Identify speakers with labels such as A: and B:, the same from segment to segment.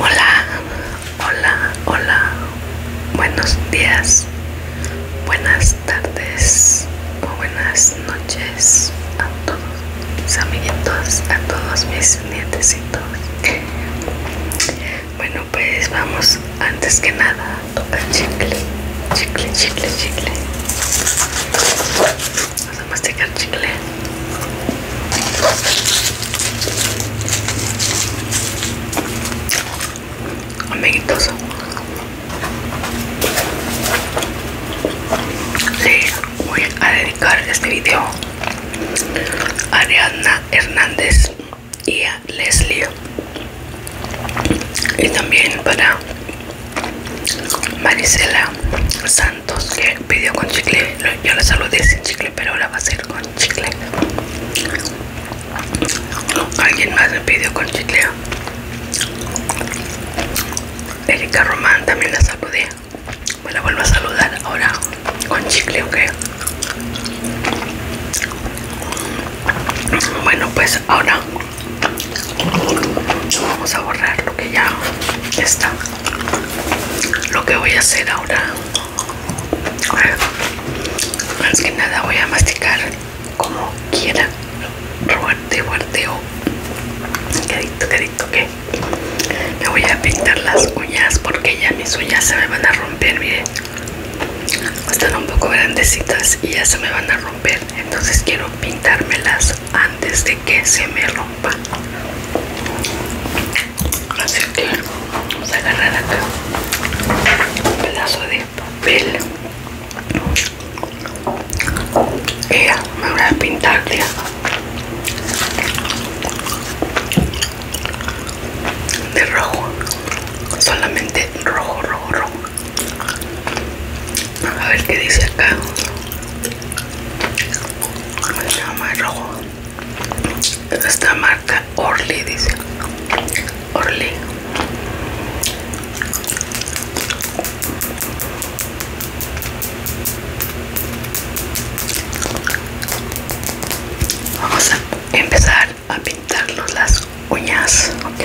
A: Hola, hola, hola. Buenos días, buenas tardes buenas noches a todos mis amiguitos, a todos mis nietecitos. Bueno, pues vamos antes que nada a tocar chicle, chicle, chicle, chicle. Vamos a masticar chicle amiguitos le voy a dedicar este video a Ariadna Hernández y a Leslie y también para Marisela Sánchez entonces, que pidió con chicle yo la saludé sin chicle pero ahora va a ser con chicle alguien más me pidió con chicle Erika Román también la saludé me la vuelvo a saludar ahora con chicle ok bueno pues ahora vamos a borrar lo que ya está lo que voy a hacer ahora más que nada voy a masticar como quiera fuerte oh. o quedito me voy a pintar las uñas porque ya mis uñas se me van a romper miren están un poco grandecitas y ya se me van a romper entonces quiero pintármelas antes de que se me rompa así que vamos a agarrar acá un pedazo de papel me voy a pintar de rojo solamente rojo rojo rojo a ver qué dice acá llama rojo esta marca Orly dice Orly vamos a empezar a pintarnos las uñas ok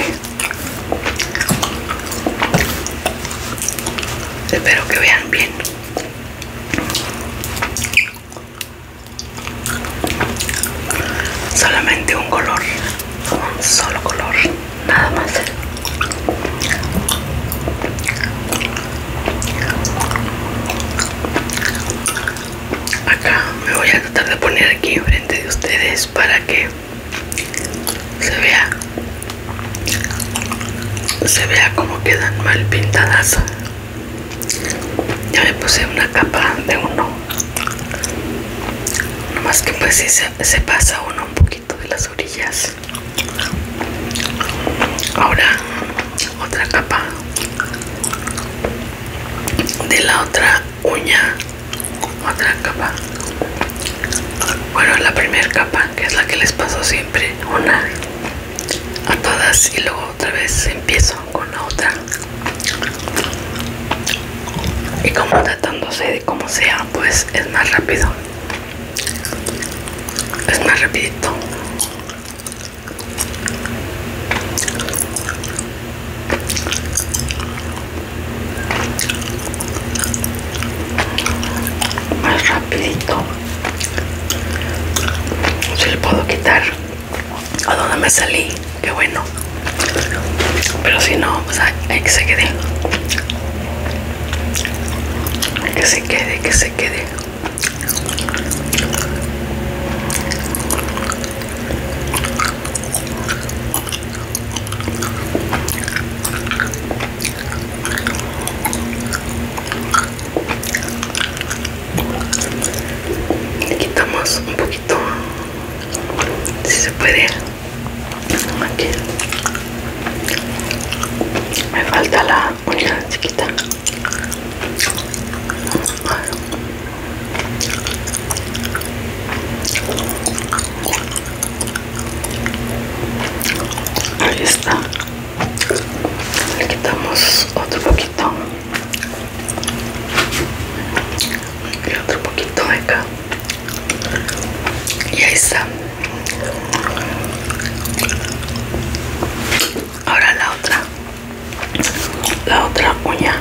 A: espero que vean bien solamente un color un solo color nada más acá me voy a tratar de poner aquí frente de ustedes para que se vea se vea como quedan mal pintadas ya me puse una capa de uno nomás que pues si se, se pasa uno un poquito de las orillas ahora otra capa de la otra uña otra capa bueno la primera capa que es la que les paso siempre una a todas y luego otra vez empiezo con la otra y como tratándose de como sea pues es más rápido es más rapidito más rapidito se le puedo quitar a donde me salí qué bueno pero si no pues hay que se quede que se quede que se quede le quitamos un poquito, si se puede. me falta la uña chiquita ahí está le quitamos otro poquito y otro poquito de acá y ahí está ahora la otra la otra uña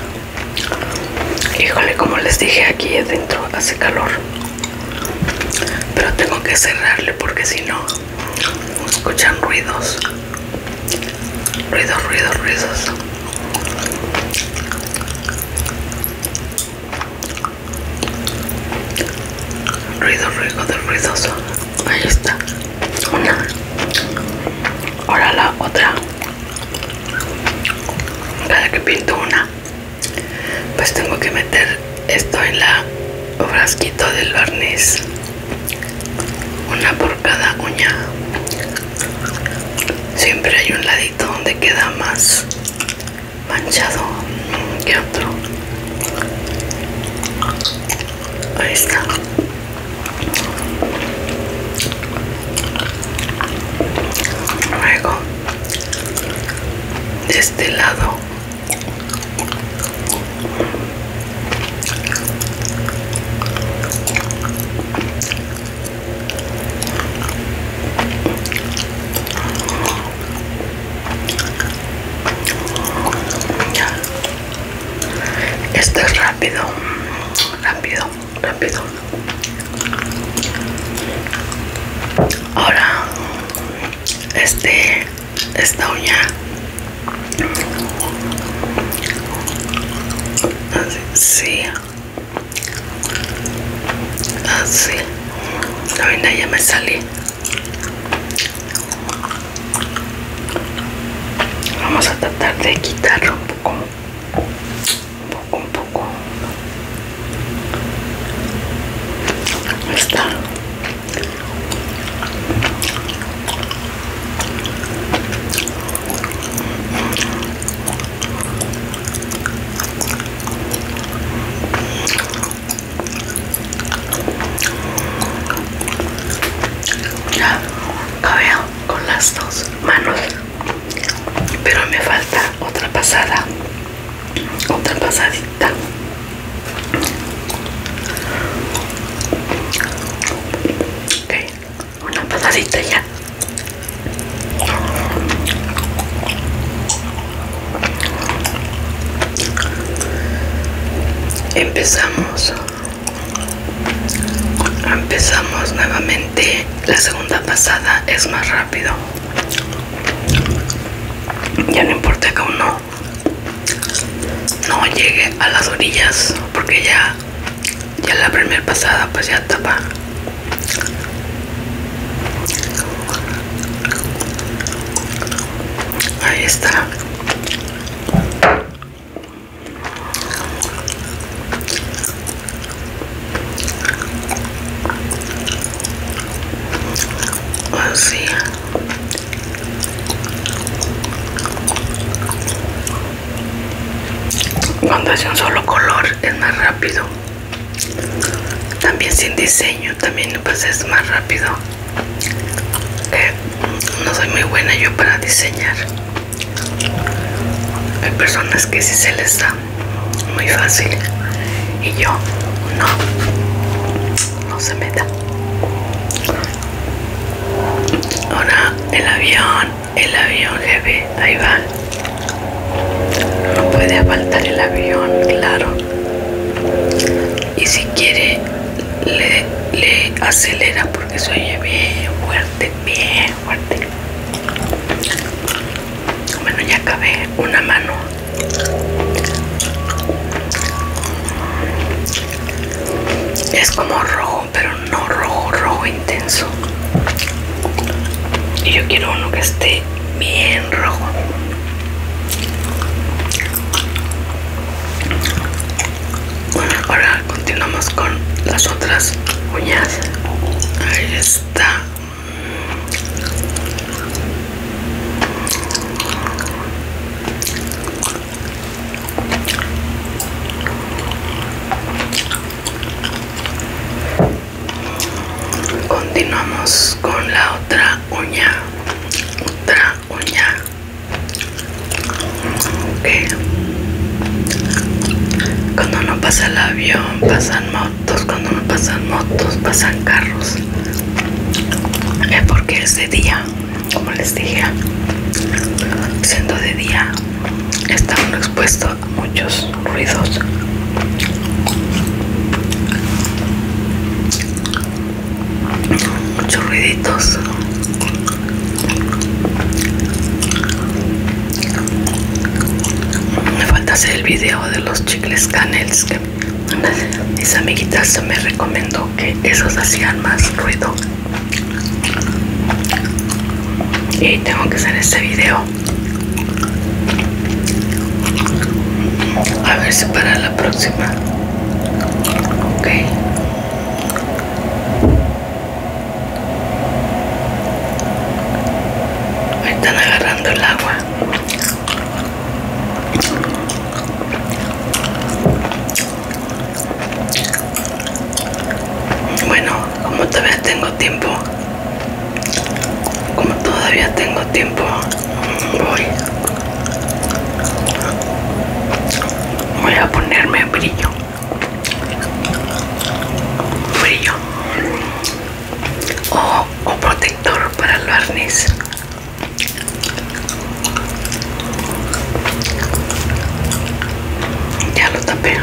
A: híjole como les dije aquí adentro hace calor pero tengo que cerrarle porque si no escuchan ruidos ruidos ruidos ruidos ruidos, ruido ruidos, ahí está una ahora la otra cada que pinto una pues tengo que meter esto en la frasquito del barniz una por cada uña siempre hay un ladito donde queda más manchado que otro ahí está luego este lado esto es rápido rápido rápido ahora este esta uña así así la vaina ya me salí vamos a tratar de quitarlo un poco un poco. Ya con las dos manos, pero me falta otra pasada otra pasadita una pasadita ya empezamos empezamos nuevamente la segunda pasada es más rápido ya no importa que uno no llegue a las orillas porque ya ya la primera pasada pues ya tapa ahí está Así, oh, cuando hace un solo color es más rápido. También sin diseño, también pues es más rápido. Eh, no soy muy buena yo para diseñar. Hay personas que sí se les da muy fácil y yo no no se meta ahora el avión el avión jefe ahí va no puede apaltar el avión claro y si quiere le, acelera porque soy bien fuerte bien fuerte bueno, ya acabé una mano. Es como rojo, pero no rojo, rojo intenso. Y yo quiero uno que esté bien rojo. Bueno, ahora continuamos con las otras uñas. Ahí está. Continuamos con la otra uña, otra uña. Cuando no pasa el avión, pasan más cuando me pasan motos, pasan carros. Es eh, porque es de día, como les dije, siendo de día, está uno expuesto a muchos ruidos. Muchos ruiditos me falta hacer el video de los chicles canels que mis amiguitas me recomendó que esos hacían más ruido. Y tengo que hacer este video. A ver si para la próxima. Ok. Me están agarrando el agua. Bueno, como todavía tengo tiempo, como todavía tengo tiempo, voy, voy a ponerme brillo, brillo o, un protector para el barniz ya lo tapé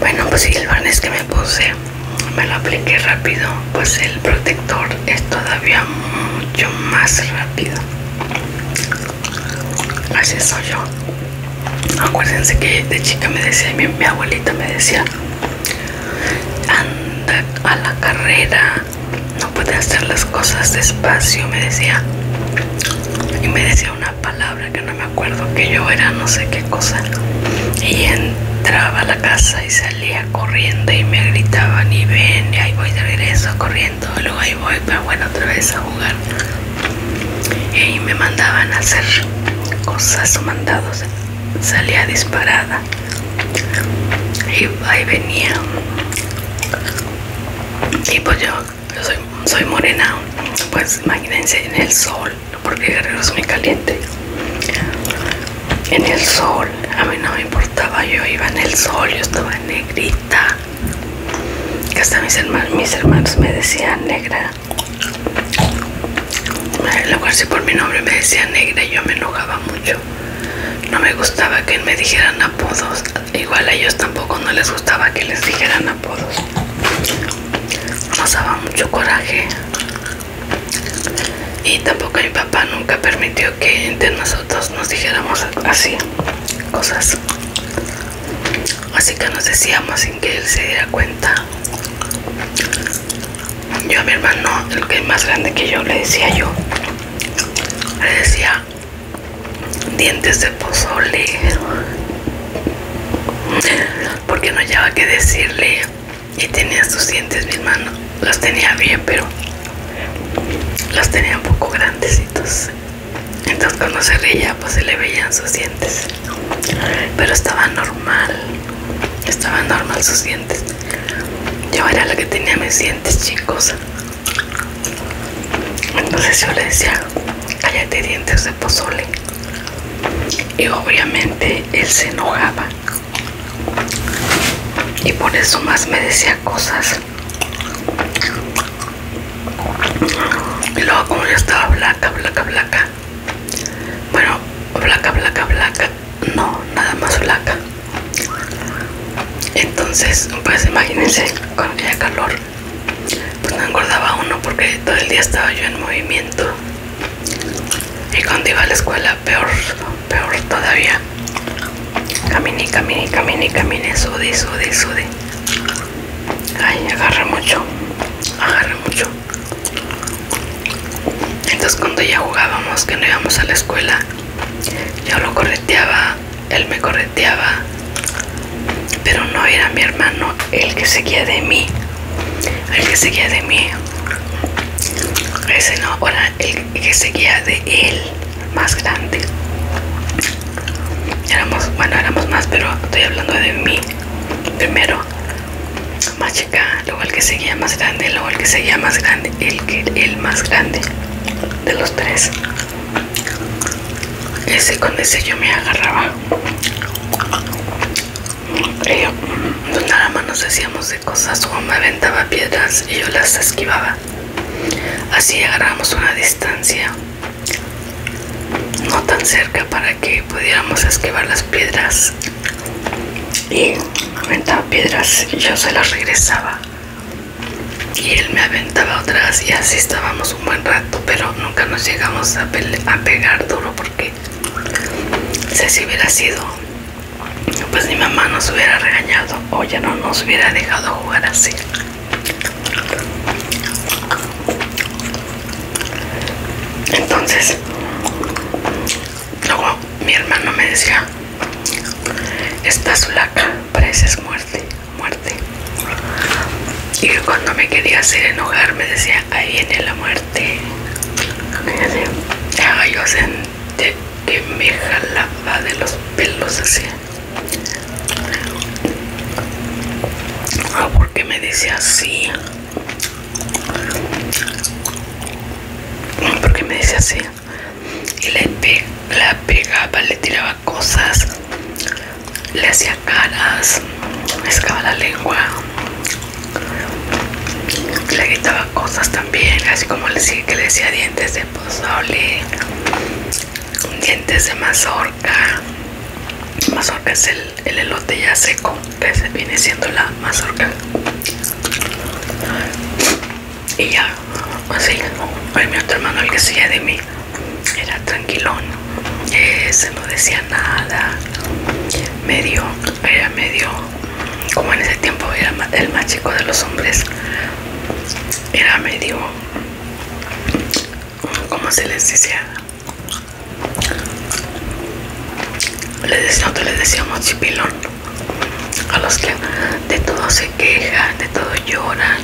A: bueno pues el barniz que me puse me lo apliqué rápido pues el protector es todavía mucho más rápido así soy yo acuérdense que de chica me decía mi, abuelita me decía anda a la carrera no puedes hacer las cosas despacio me decía y me decía una palabra que no me acuerdo que yo era no sé qué cosa y entraba a la casa y salía corriendo y me gritaban y ven y ahí voy de regreso corriendo voy, pero bueno, otra vez a jugar. Y me mandaban a hacer cosas o mandados. Salía disparada. Y ahí venía. Y pues yo, soy, morena, pues imagínense en el sol, porque Guerrero es muy caliente. En el sol, a mí no me importaba, yo iba en el sol, yo estaba negrita que hasta mis hermanos, mis hermanos me decían negra. En lugar si por mi nombre me decían negra, yo me enojaba mucho. No me gustaba que me dijeran apodos. Igual a ellos tampoco no les gustaba que les dijeran apodos. Nos daba mucho coraje. Y tampoco mi papá nunca permitió que entre nosotros nos dijéramos así cosas así que nos decíamos sin que él se diera cuenta yo a mi hermano el que es más grande que yo le decía yo le decía dientes de pozole porque no llevaba que decirle y tenía sus dientes mi hermano las tenía bien pero las tenía un poco grandecitos entonces cuando se reía pues se le veían sus dientes. Pero estaba normal. Estaba normal sus dientes. Yo era la que tenía mis dientes chicos. Entonces yo le decía, cállate dientes de pozole. Y obviamente él se enojaba. Y por eso más me decía cosas. Y luego como yo estaba blanca, blanca, blanca. Bueno, blanca, blanca, blanca. No, nada más blanca. Entonces, pues imagínense, con aquella calor, pues no engordaba uno porque todo el día estaba yo en movimiento. Y cuando iba a la escuela, peor, peor todavía. Camine, camine, camine, camine. Sude, sude, sude. Ay, agarra mucho. Agarra mucho. Entonces cuando ya jugábamos, que no íbamos a la escuela, yo lo correteaba, él me correteaba, pero no era mi hermano el que seguía de mí, el que seguía de mí, ese no, era el que seguía de él, más grande éramos bueno éramos más pero estoy hablando de mí primero más chica luego el que seguía más grande luego el que seguía más grande el que el más grande de los tres ese con ese yo me agarraba y yo, pues nada más nos decíamos de cosas o me aventaba piedras y yo las esquivaba así agarramos una distancia no tan cerca para que pudiéramos esquivar las piedras y aventaba piedras y yo se las regresaba y él me aventaba otras y así estábamos un buen rato pero nunca nos llegamos a, pegar duro porque si hubiera sido pues ni mamá nos hubiera regañado o ya no nos hubiera dejado jugar así entonces, luego mi hermano me decía, estás parece es muerte, muerte. Y cuando me quería hacer enojar me decía, ahí viene la muerte. Ya, yo sentí que me jalaba de los pelos así. Porque ah, ¿por qué me dice así? ¿Por qué me dice así? Y le pegaba, le tiraba cosas, le hacía caras, me la lengua, le gritaba cosas también, así como le, que le decía dientes de pozole, dientes de mazorca mazorca es el, elote ya seco que viene siendo la mazorca y ya así el mi otro hermano el que seguía de mí era tranquilón eh, se no decía nada medio era medio como en ese tiempo era el más chico de los hombres era medio como se les decía nosotros les decíamos chipilón a los que de todo se quejan de todo lloran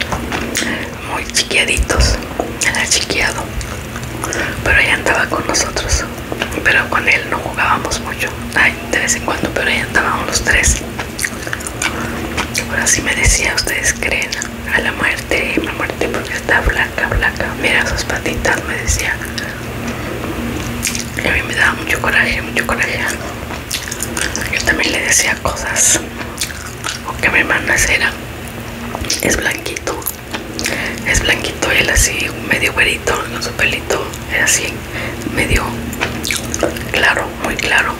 A: muy chiquiaditos era chiquiado pero ella andaba con nosotros pero con él no jugábamos mucho Ay, de vez en cuando pero ella andábamos los tres Ahora sí me decía, ustedes creen a la muerte, a la muerte porque está blanca, blanca, Mira sus patitas, me decía. Y a mí me daba mucho coraje, mucho coraje. Yo también le decía cosas. O que mi hermana era, es blanquito. Es blanquito, él así, medio güerito, no su pelito, es así, medio claro, muy claro.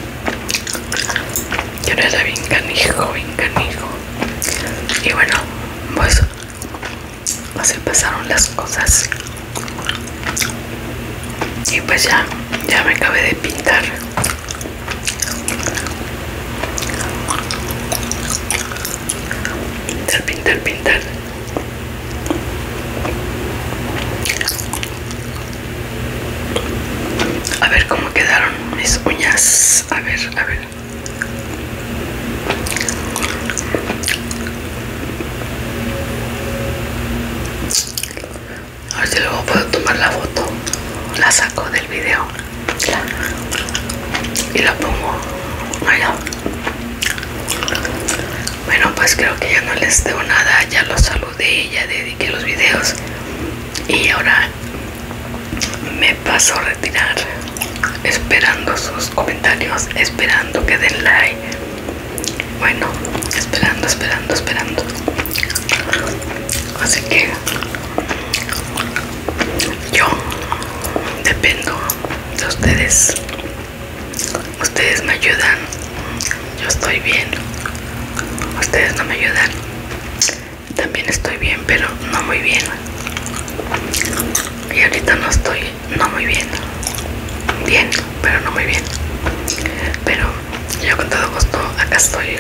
A: Yo no era bien canijo, bien canijo. Y bueno, pues así pasaron las cosas. Y pues ya, ya me acabé de pintar. Pintar, pintar, pintar. A ver cómo quedaron mis uñas. A ver, a ver. A ver si luego puedo tomar la foto. La saco del video. Y la pongo Bueno, pues creo que ya no les debo nada. Ya lo salgo de ella, dediqué los videos y ahora me paso a retirar esperando sus comentarios, esperando que den like. Bueno, esperando, esperando, esperando. Así que yo dependo de ustedes Ustedes me ayudan. Yo estoy bien. Ustedes no me ayudan. También estoy bien, pero no muy bien. Y ahorita no estoy no muy bien. Bien, pero no muy bien. Pero yo con todo gusto acá estoy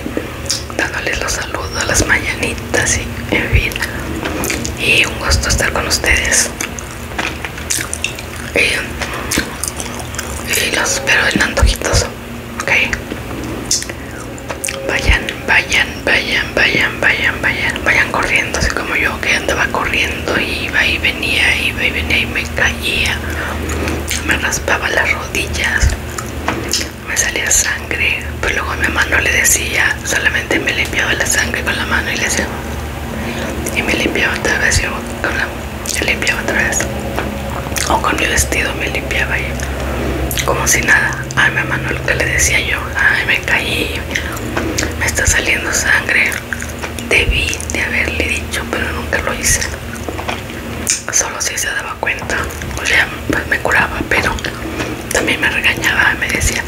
A: dándoles los saludos, a las mañanitas y en fin. Y un gusto estar con ustedes y, y los pero el antojitos ok vayan vayan vayan vayan vayan vayan vayan corriendo así como yo que andaba corriendo y iba y venía iba y venía y me caía me raspaba las rodillas me salía sangre pero luego mi mamá no le decía solamente me limpiaba la sangre con la mano y le hacía y me limpiaba otra vez con la limpiaba otra vez o con mi vestido me limpiaba y como si nada ay mi hermano, lo que le decía yo ay me caí me está saliendo sangre debí de haberle dicho pero nunca lo hice solo si se daba cuenta o sea pues me curaba pero también me regañaba me decía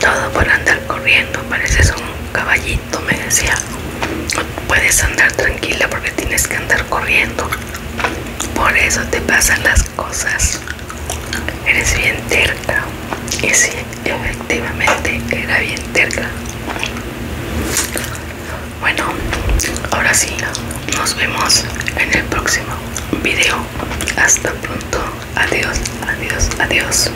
A: todo por andar corriendo parece un caballito me decía puedes andar tranquila porque tienes que andar corriendo por eso te pasan las cosas eres bien terca y sí efectivamente era bien terca bueno ahora sí nos vemos en el próximo video hasta pronto adiós adiós adiós